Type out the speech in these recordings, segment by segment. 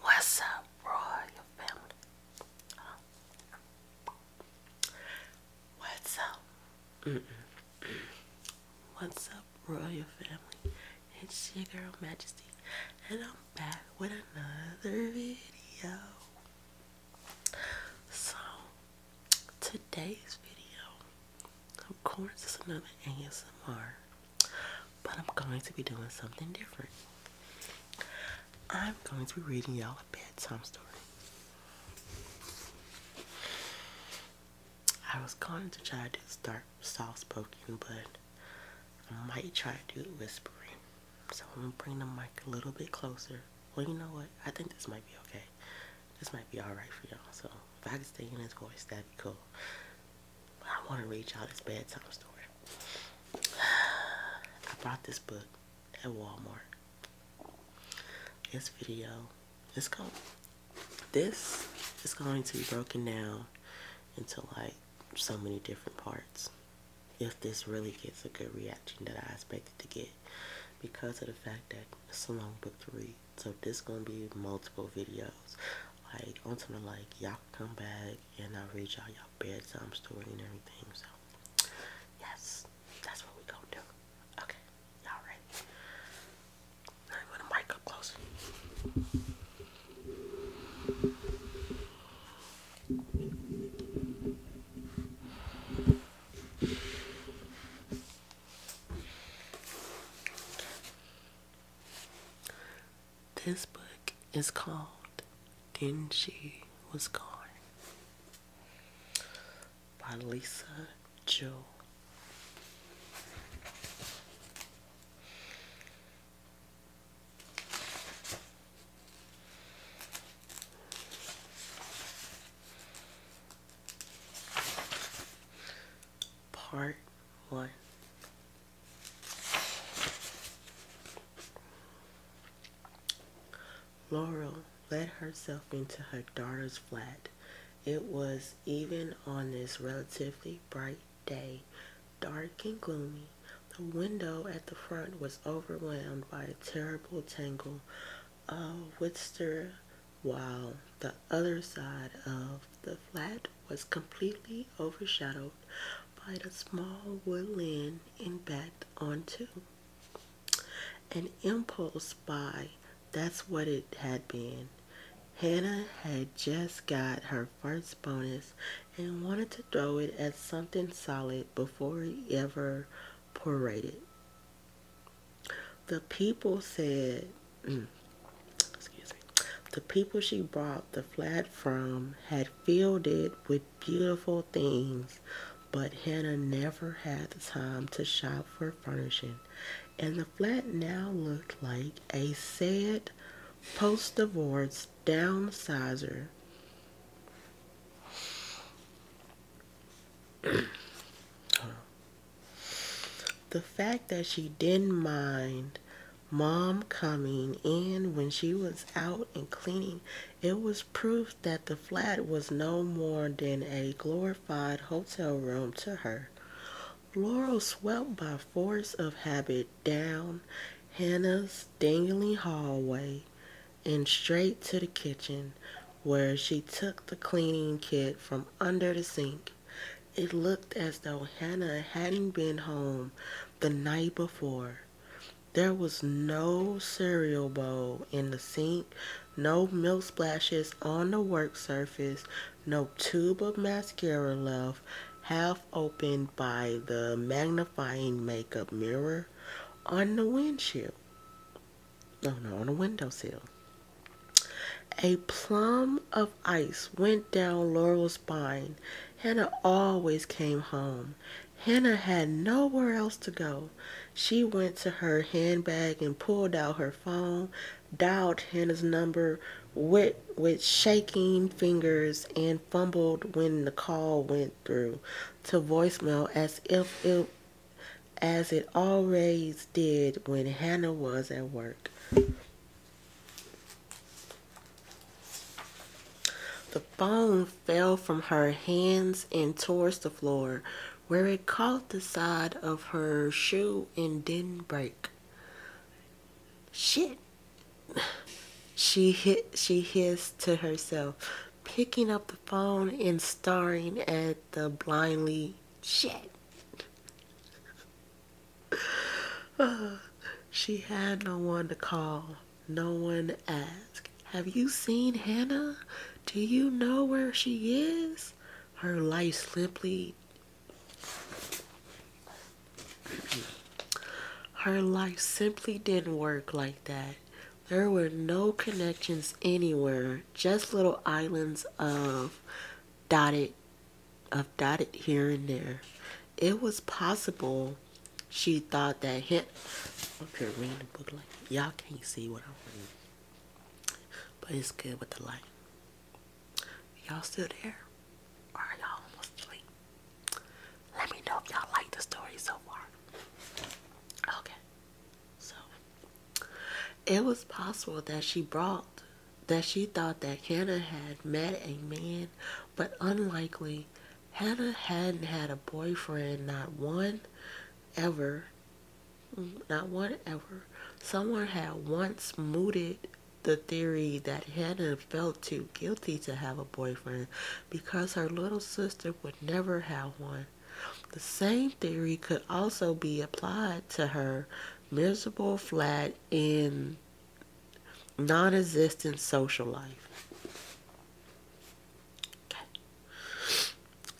What's up, royal family? What's up? What's up, royal family? It's your girl Majesty, and I'm back with another video. So today's video, of course, is another ASMR, but I'm going to be doing something different. I'm going to be reading y'all a bedtime story. I was going to try to start soft spoken, but I might try to do whispering. So I'm gonna bring the mic a little bit closer well, you know what? I think this might be okay. This might be alright for y'all. So if I can stay in his voice, that'd be cool. I want to read y'all this bedtime story. I brought this book at Walmart. This video, it's going, this is going to be broken down into like so many different parts. If this really gets a good reaction that I expected to get because of the fact that it's a long book to read. So this gonna be multiple videos. Like on something like y'all come back and I'll read y'all y'all bedtime story and everything. So yes, that's what we gonna do. Okay, y'all ready? I'm gonna mic up closer. This book is called Then She Was Gone by Lisa Joe. Part one. Laurel let herself into her daughter's flat. It was even on this relatively bright day, dark and gloomy. The window at the front was overwhelmed by a terrible tangle uh, of while the other side of the flat was completely overshadowed by the small woodland in back onto. An impulse buy, that's what it had been. Hannah had just got her first bonus and wanted to throw it at something solid before it ever paraded. The people said, mm, excuse me, the people she bought the flat from had filled it with beautiful things, but Hannah never had the time to shop for furnishing, and the flat now looked like a sad post-divorce downsizer. the fact that she didn't mind mom coming in when she was out and cleaning, it was proof that the flat was no more than a glorified hotel room to her. Laurel swept by force of habit down Hannah's dingy hallway, and straight to the kitchen where she took the cleaning kit from under the sink. It looked as though Hannah hadn't been home the night before. There was no cereal bowl in the sink, no milk splashes on the work surface, no tube of mascara left, half open by the magnifying makeup mirror on the windshield no, no, on a windowsill. A plum of ice went down Laurel's spine. Hannah always came home. Hannah had nowhere else to go. She went to her handbag and pulled out her phone, dialed Hannah's number with, with shaking fingers, and fumbled when the call went through to voicemail as if it as it always did when Hannah was at work. The phone fell from her hands and towards the floor, where it caught the side of her shoe and didn't break. Shit. She hit she hissed to herself picking up the phone and staring at the blindly shit. she had no one to call, no one to ask. Have you seen Hannah? Do you know where she is? Her life simply her life simply didn't work like that. There were no connections anywhere, just little islands of dotted of dotted here and there. It was possible she thought that him up here reading the book like y'all can't see what I'm reading. But it's good with the light. Y'all still there? are y'all almost asleep? Let me know if y'all like the story so far. Okay. So it was possible that she brought that she thought that Hannah had met a man, but unlikely Hannah hadn't had a boyfriend, not one ever. Not one ever. Someone had once mooted the theory that Hannah felt too guilty to have a boyfriend because her little sister would never have one. The same theory could also be applied to her miserable, flat, and non existent social life.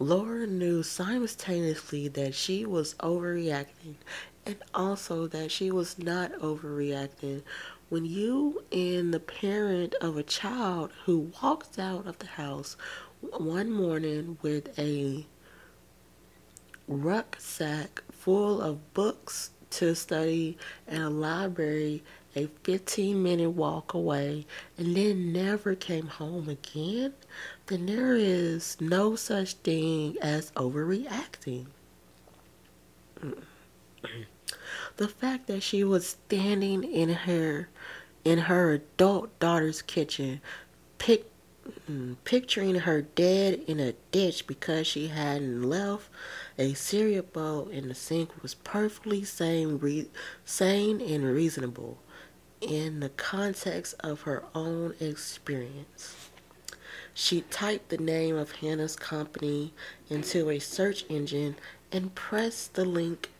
Laura knew simultaneously that she was overreacting and also that she was not overreacting. When you and the parent of a child who walks out of the house one morning with a rucksack full of books to study and a library a 15 minute walk away and then never came home again, then there is no such thing as overreacting. the fact that she was standing in her in her adult daughter's kitchen, mm, picturing her dead in a ditch because she hadn't left a cereal bowl in the sink was perfectly sane, sane and reasonable in the context of her own experience. She typed the name of Hannah's company into a search engine and pressed the link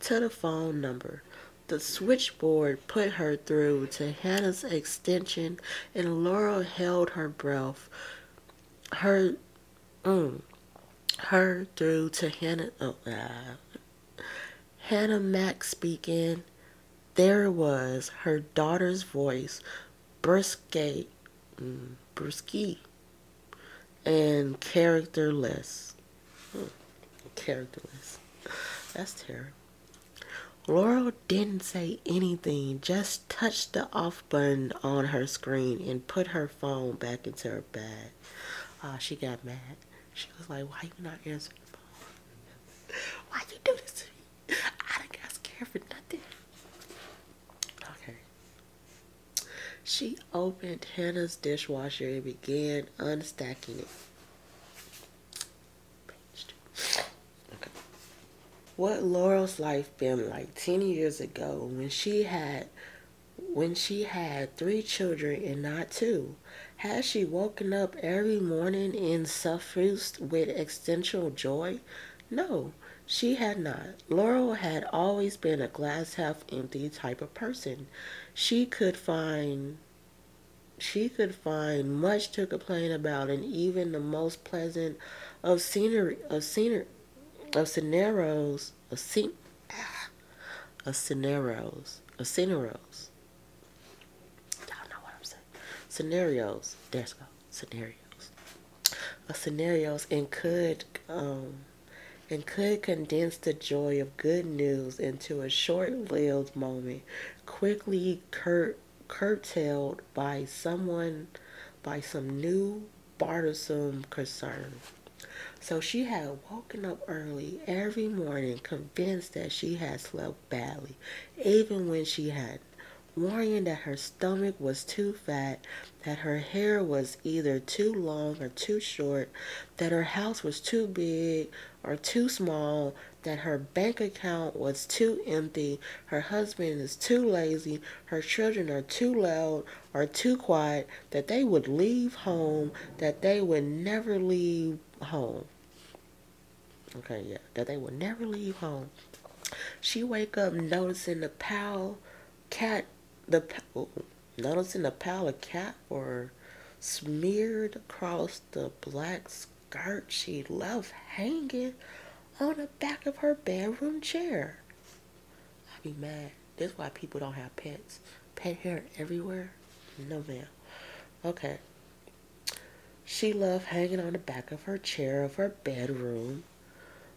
to the phone number. The switchboard put her through to Hannah's extension, and Laurel held her breath. Her, mm, her through to Hannah. Oh, uh, Hannah Mack speaking. There was her daughter's voice, brusque, mm, and characterless. Hmm. Characterless. That's terrible. Laurel didn't say anything, just touched the off button on her screen and put her phone back into her bag. Oh, she got mad. She was like, why you not answering the phone? why you do this to me? I done got scared for nothing. Okay. She opened Hannah's dishwasher and began unstacking it. What Laurel's life been like 10 years ago when she had when she had three children and not two? has she woken up every morning in suffused with existential joy? No, she had not. Laurel had always been a glass half empty type of person she could find she could find much to complain about and even the most pleasant of scenery of scenery of scenarios ah, of scene ah, scenarios of scenarios y'all know what I'm saying scenarios there's scenarios scenarios and could um and could condense the joy of good news into a short lived moment, quickly curtailed by someone, by some new bothersome concern. So she had woken up early every morning, convinced that she had slept badly, even when she hadn't, worrying that her stomach was too fat, that her hair was either too long or too short, that her house was too big or too small, that her bank account was too empty, her husband is too lazy, her children are too loud or too quiet, that they would leave home, that they would never leave home. Okay, yeah, that they would never leave home. She wake up noticing the pal cat, the pal, noticing the pile of cat fur smeared across the black skirt she left hanging on the back of her bedroom chair. I'd be mad. This is why people don't have pets. Pet hair everywhere? No, man. Okay. She left hanging on the back of her chair of her bedroom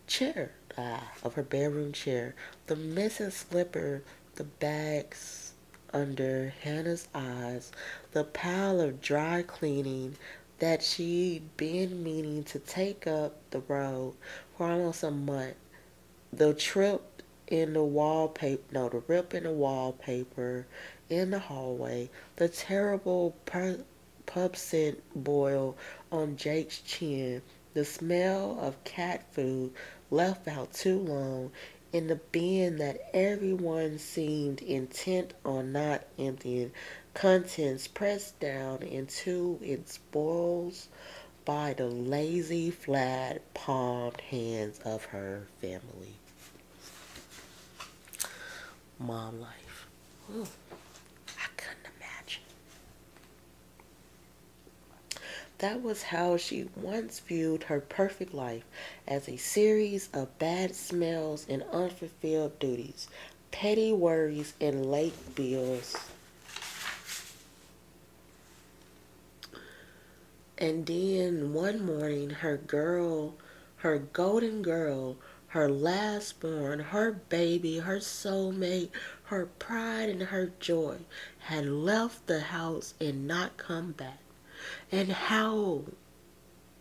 chair. Ah, of her bedroom chair. The missing slipper, the bags, under Hannah's eyes the pile of dry cleaning that she'd been meaning to take up the road for almost a month. The trip in the wallpaper, no, the rip in the wallpaper in the hallway, the terrible pub scent boil on Jake's chin, the smell of cat food left out too long in the bin that everyone seemed intent on not emptying, contents pressed down into its bowls by the lazy, flat, palmed hands of her family. Mom life. I couldn't imagine. That was how she once viewed her perfect life as a series of bad smells and unfulfilled duties, petty worries, and late bills. And then one morning, her girl, her golden girl, her last born, her baby, her soulmate, her pride, and her joy had left the house and not come back. And how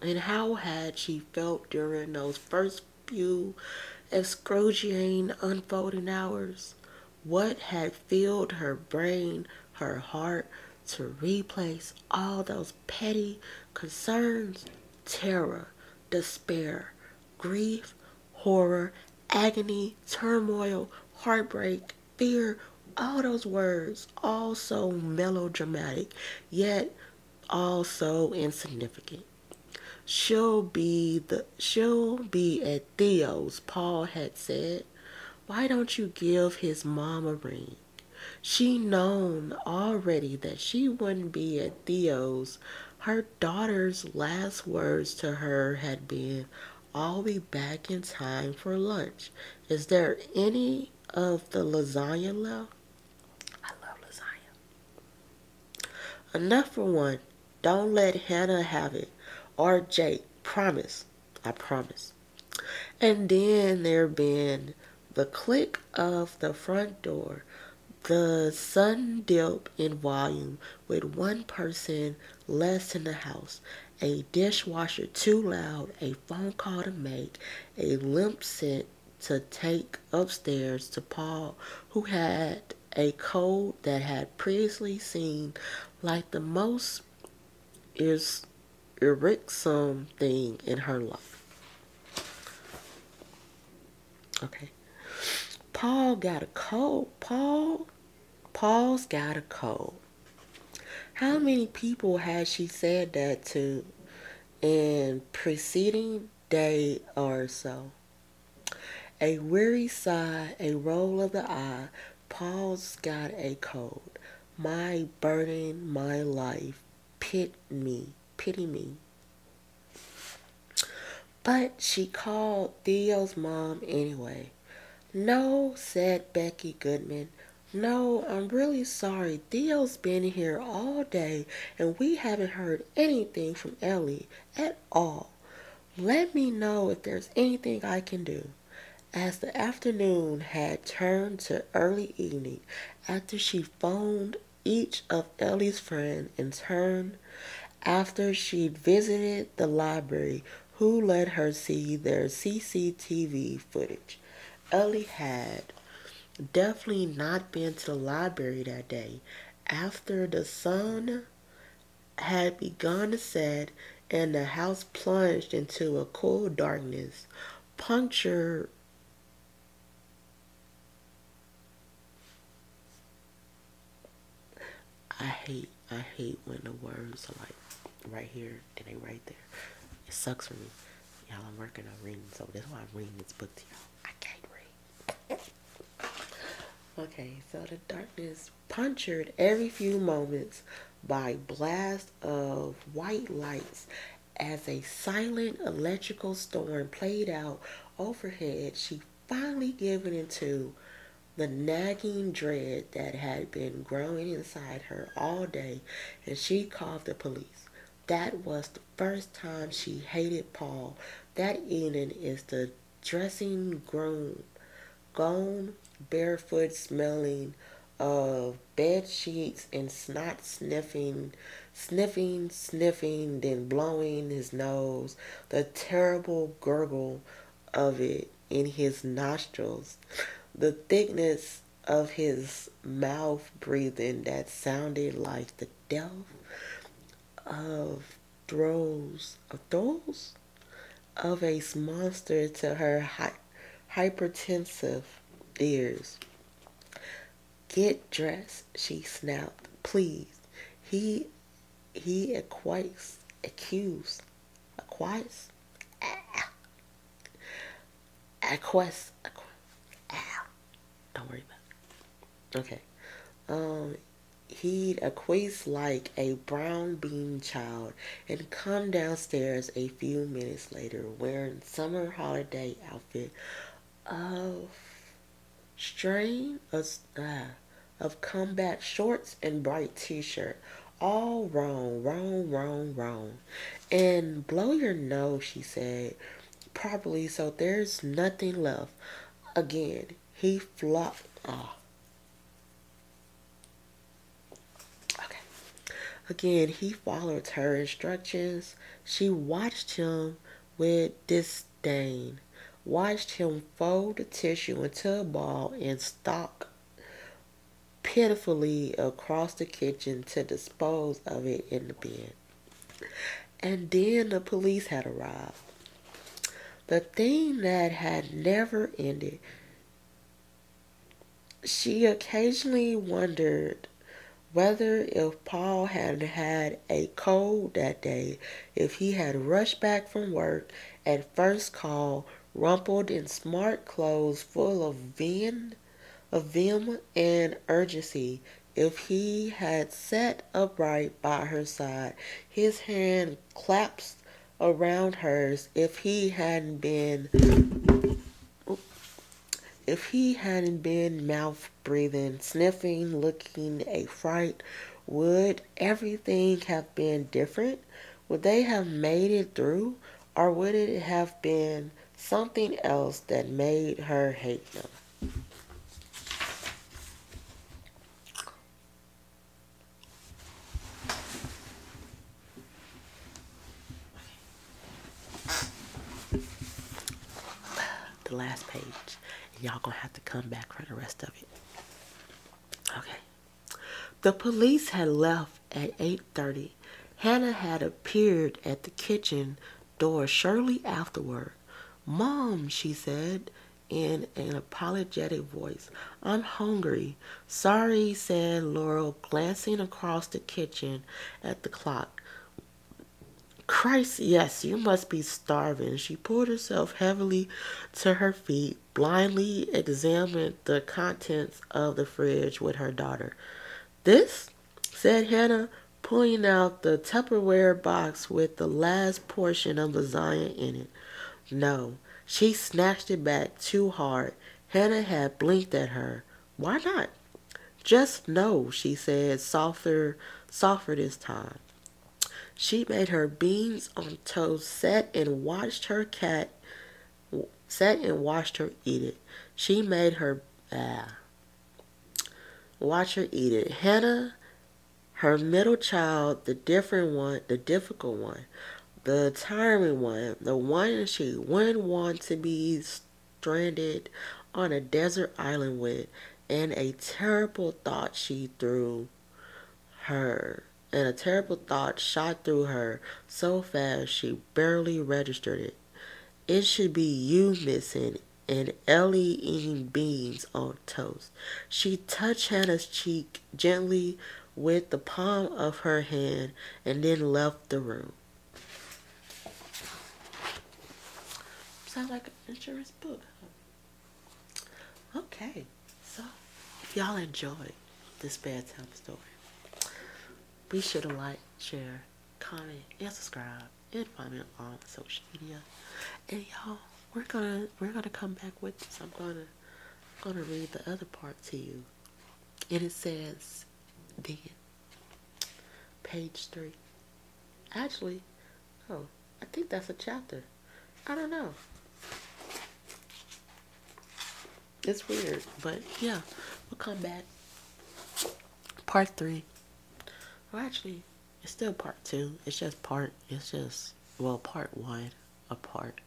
and how had she felt during those first few excruciating unfolding hours? What had filled her brain, her heart, to replace all those petty concerns? Terror, despair, grief, horror, agony, turmoil, heartbreak, fear, all those words, all so melodramatic, yet all so insignificant. She'll be the she'll be at Theo's, Paul had said. Why don't you give his mom ring? She known already that she wouldn't be at Theo's. Her daughter's last words to her had been, I'll be back in time for lunch. Is there any of the lasagna left? I love lasagna. Enough for one. Don't let Hannah have it. Or Jake. Promise. I promise. And then there been the click of the front door, the sun dip in volume with one person less in the house, a dishwasher too loud, a phone call to make, a limp sent to take upstairs to Paul, who had a cold that had previously seemed like the most is irksome thing in her life. Okay. Paul got a cold. Paul Paul's got a cold. How many people had she said that to in preceding day or so? A weary sigh, a roll of the eye, Paul's got a cold. My burden, my life, pit me, pity me. But she called Theo's mom anyway. No, said Becky Goodman. No, I'm really sorry. Theo's been here all day and we haven't heard anything from Ellie at all. Let me know if there's anything I can do. As the afternoon had turned to early evening, after she phoned each of Ellie's friends in turn, after she visited the library who let her see their CCTV footage. Ellie had definitely not been to the library that day after the sun had begun to set and the house plunged into a cool darkness, Puncher. I hate, I hate when the words are like right here and they right there. It sucks for me. Y'all, I'm working on reading, so that's why I'm reading this book to y'all. I can't read. okay, so the darkness punctured every few moments by blast of white lights as a silent electrical storm played out overhead. She finally gave in to. The nagging dread that had been growing inside her all day, and she called the police. That was the first time she hated Paul. That evening is the dressing groom, gone barefoot smelling of bed sheets and snot sniffing, sniffing, sniffing, then blowing his nose. The terrible gurgle of it in his nostrils, the thickness of his mouth breathing that sounded like the death of drows of drows of a monster to her hypertensive ears. Get dressed, she snapped. Please, he he acquires accused Aquarius. Aquas. Don't worry about it. Okay. Um, he'd acquiesce like a brown bean child and come downstairs a few minutes later wearing summer holiday outfit of strain of uh, combat shorts and bright t-shirt all wrong, wrong, wrong, wrong. And blow your nose, she said, properly, so there's nothing left. Again, he flopped. Oh. Okay. Again, he followed her instructions. She watched him with disdain watched him fold the tissue into a ball and stalk pitifully across the kitchen to dispose of it in the bin. And then the police had arrived. The thing that had never ended. She occasionally wondered whether if Paul had had a cold that day, if he had rushed back from work at first call rumpled in smart clothes full of vim, of vim and urgency. If he had sat upright by her side, his hand clasped around hers. If he hadn't been if he hadn't been mouth breathing, sniffing, looking a fright, would everything have been different? would they have made it through or would it have been something else that made her hate them? The last page. Y'all gonna have to come back for the rest of it. Okay. The police had left at 8:30. Hannah had appeared at the kitchen door shortly afterward. "Mom," she said in an apologetic voice, "I'm hungry." "Sorry," said Laurel, glancing across the kitchen at the clock. Christ, yes, you must be starving. She pulled herself heavily to her feet blindly examined the contents of the fridge with her daughter. This, said Hannah, pulling out the Tupperware box with the last portion of the lasagna in it. No, she snatched it back too hard. Hannah had blinked at her. Why not? Just no, she said, softer, softer this time. She made her beans on toast, set and watched her cat sat and watched her eat it. She made her ah, watch her eat it. Hannah, her middle child, the different one, the difficult one, the tiring one, the one she wouldn't want to be stranded on a desert island with, and a terrible thought she threw her and a terrible thought shot through her so fast she barely registered it. It should be you missing and Ellie eating beans on toast. She touched Hannah's cheek gently with the palm of her hand and then left the room. Sounds like an insurance book. Okay. So, if y'all enjoyed this bad bedtime story, be sure to like, share, comment, and subscribe, and follow me on social media. And y'all, we're gonna we're gonna come back with this. I'm gonna I'm gonna read the other part to you, and it says, then page three. Actually, oh, I think that's a chapter. I don't know. It's weird, but yeah, we'll come back. Part three. Well, actually, it's still part two. It's just part, it's just, well, part one, a part,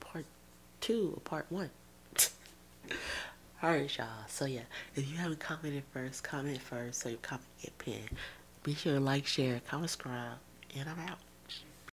part two, a part one. Alright, y'all. So, yeah, if you haven't commented first, comment first so you comment get pinned. Be sure to like, share, comment, subscribe, and I'm out.